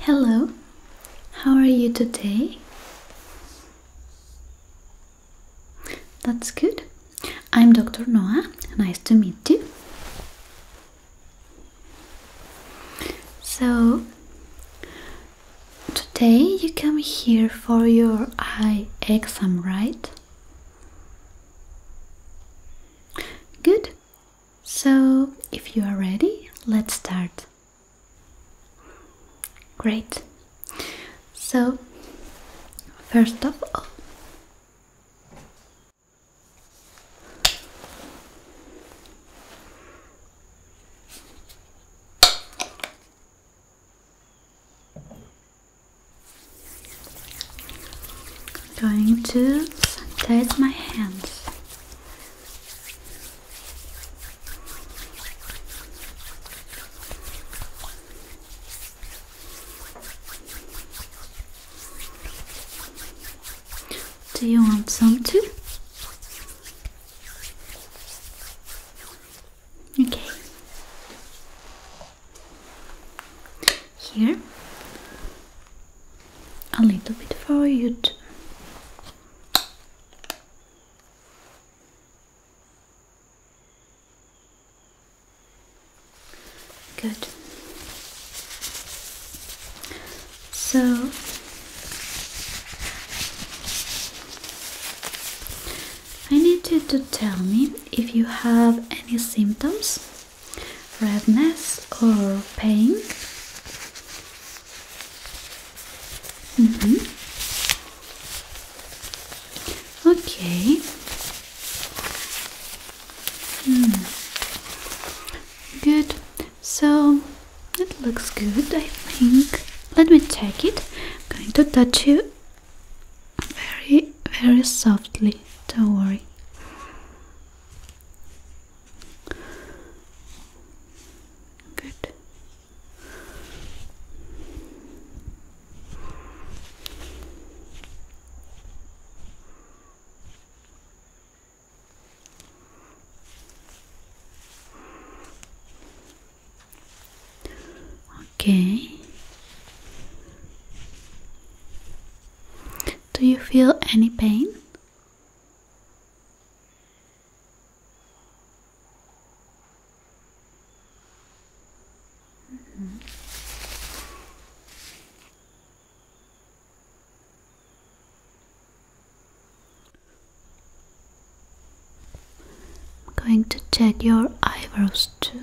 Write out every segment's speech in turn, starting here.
Hello, how are you today? That's good. I'm Dr. Noah. Nice to meet you. So, today you come here for your eye exam, right? Good. So, if you are ready, let's start. Great. So, first of all, I'm going to sanitize my hands. Do you want some too? Okay. Here, a little bit for you. Good. So I need you to tell me if you have any symptoms redness or pain. Mm -hmm. Okay. Mm. Good. So it looks good, I think. Let me check it. I'm going to touch you very, very softly, don't worry. Good. Okay. Do you feel any pain? Mm-hmm. I'm going to check your eyebrows too.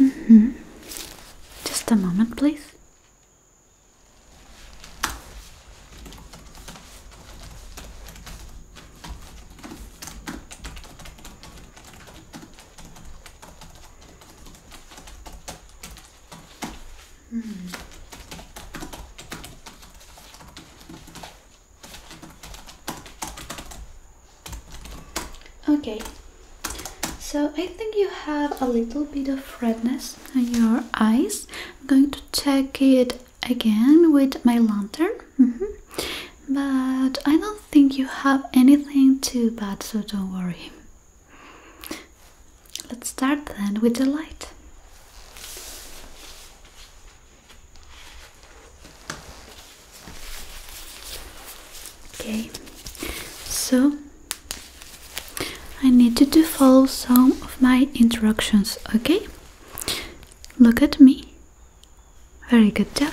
Mm -hmm. Just a moment, please. Hmm. Okay, so I think you have a little bit of redness in your eyes. I'm going to check it again with my lantern. Mm-hmm. But I don't think you have anything too bad, so don't worry. Let's start then with the light. Okay, so I need you to follow some of my instructions, okay? Look at me. Very good job.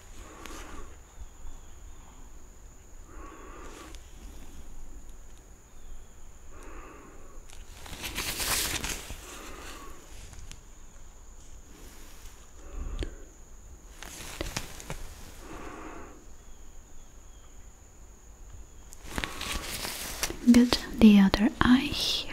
Get the other eye here.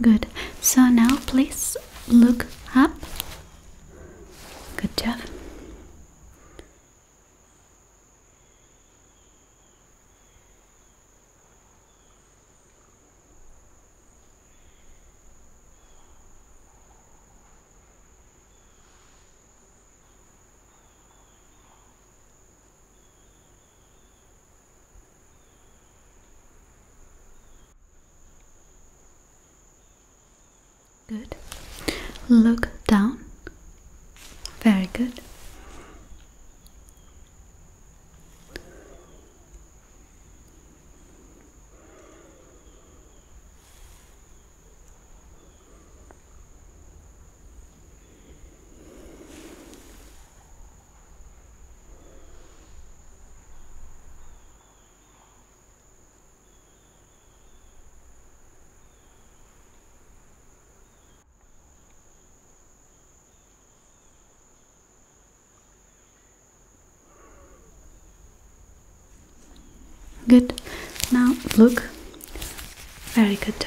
Good. So now please look up. Good job. Good. Look down. Very good. Good. Now look. Very good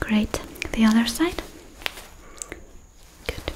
Great. The other side. Good.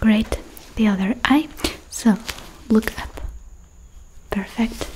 Great, the other eye. So look up. Perfect.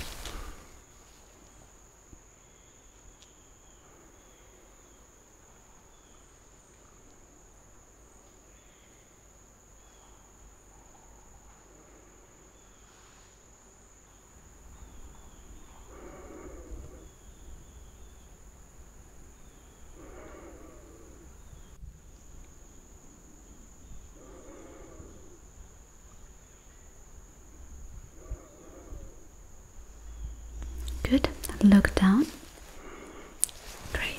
Good. Look down. Great.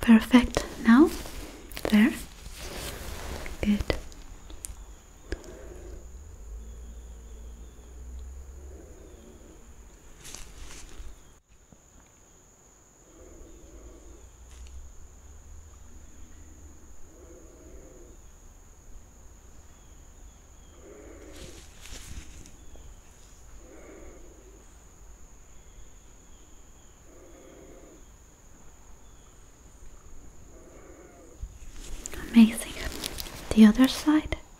Perfect. Now, there. Good. Amazing. The other side.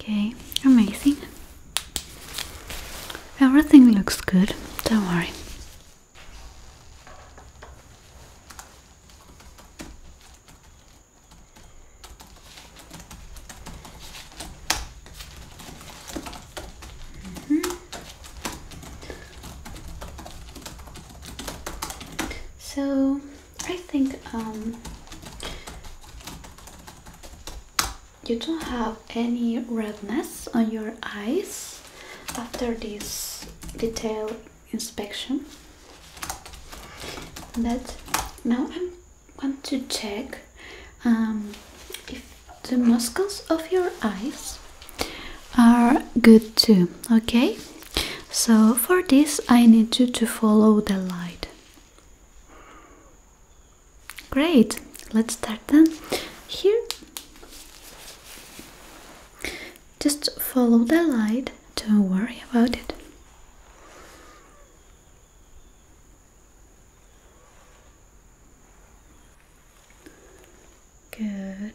Okay, amazing. Everything looks good, don't worry. Mm-hmm. So I think um, you don't have any redness on your eyes after this detailed inspection but now I want to check um, if the muscles of your eyes are good too okay so for this I need you to follow the light Great, let's start then. Here, just follow the light, don't worry about it. Good.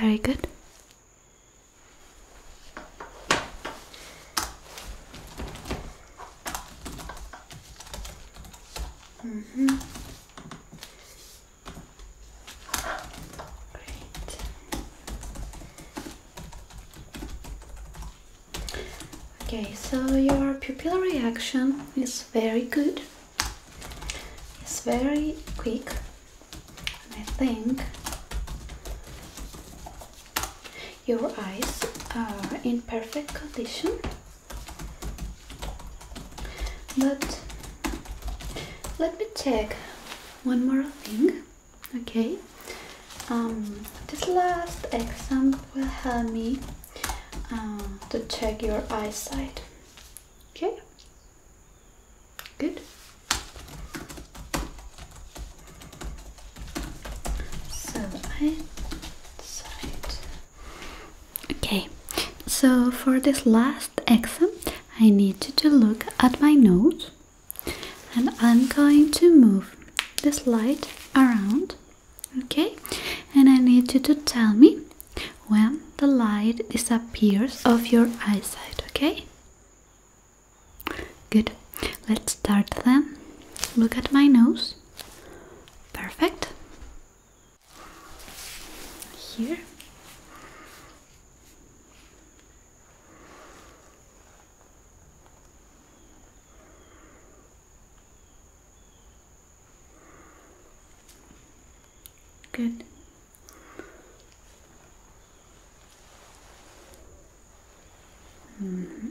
Very good. Mm -hmm. Okay, so your pupil reaction is very good. It's very quick. I think your eyes are in perfect condition. But let me check one more thing, okay? Um, this last exam will help me uh, to check your eyesight, okay? Good. So I decide Okay, so for this last exam, I need you to look at my nose and I'm going to move this light around. Okay, and I need you to tell me when the light disappears of your eyesight. Okay, good. Let's start then. Look at my nose. Perfect here good -hmm.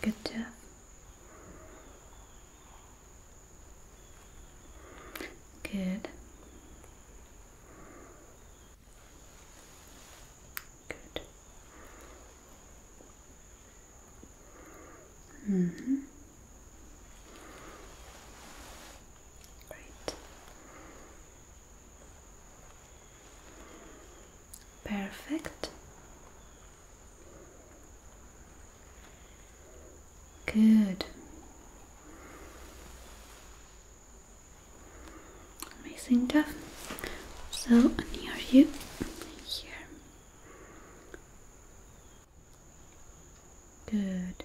good job Good. Good. -hmm. Great. Perfect. Good. Amazing job. So near you, here. Good.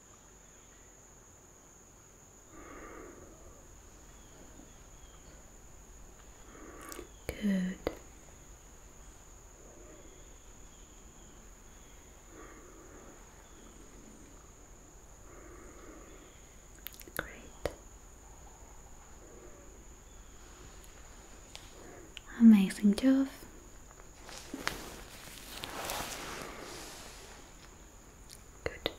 Good. Great. Amazing job. Good.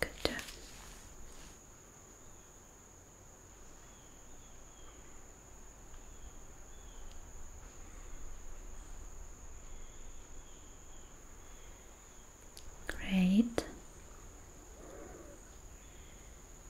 Good. Great.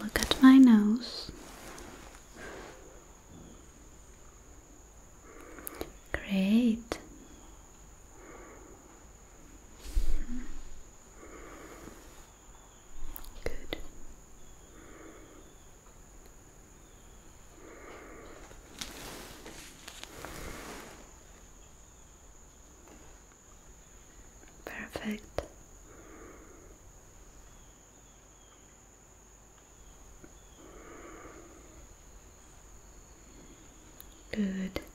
Look at my nose. Great. Good. Perfect. Good. Good.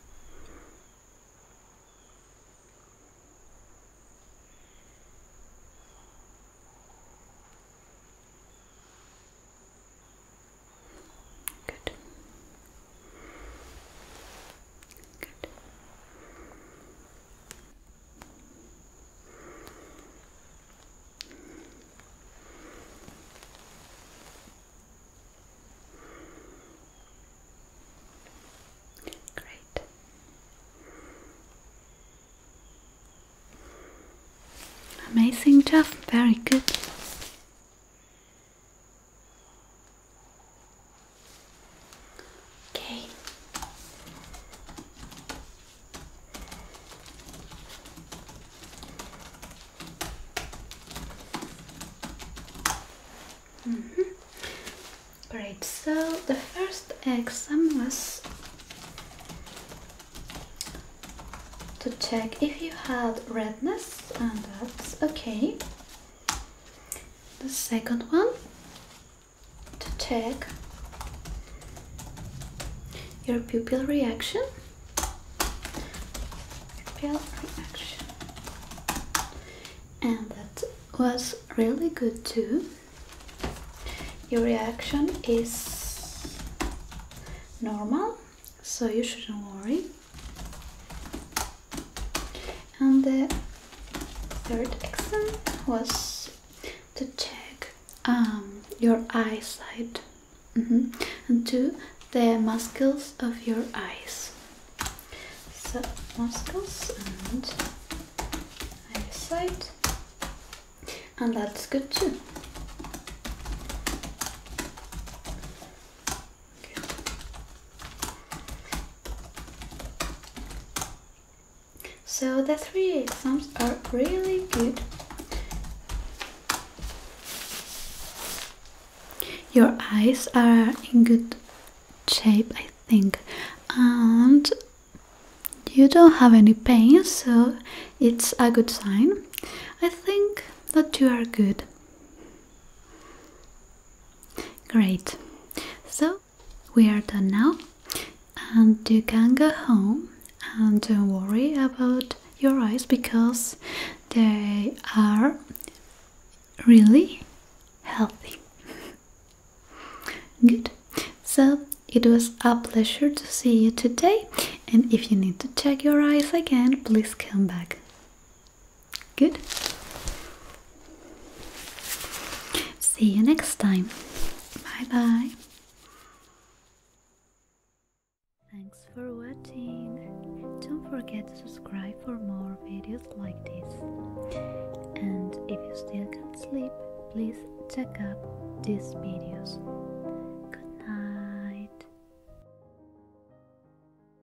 Great. Amazing job, very good. Okay. Mm -hmm. Great, so the first exam was to check if you had redness, and that's okay the second one to check your pupil reaction and that was really good too your reaction is normal so you shouldn't worry and the third exam was to check um, your eyesight mm-hmm. and to the muscles of your eyes so muscles and eyesight and that's good too so the three exams are really good. Your eyes are in good shape, I think, and you don't have any pain, so it's a good sign. I think that you are good. Great. So we are done now, and you can go home and don't worry about your eyes because they are really healthy. Good. So it was a pleasure to see you today, and if you need to check your eyes again, please come back. Good. See you next time. Bye bye. Thanks for watching. Don't forget to subscribe for more videos like this. And if you still can't sleep, please check out these videos. Good night.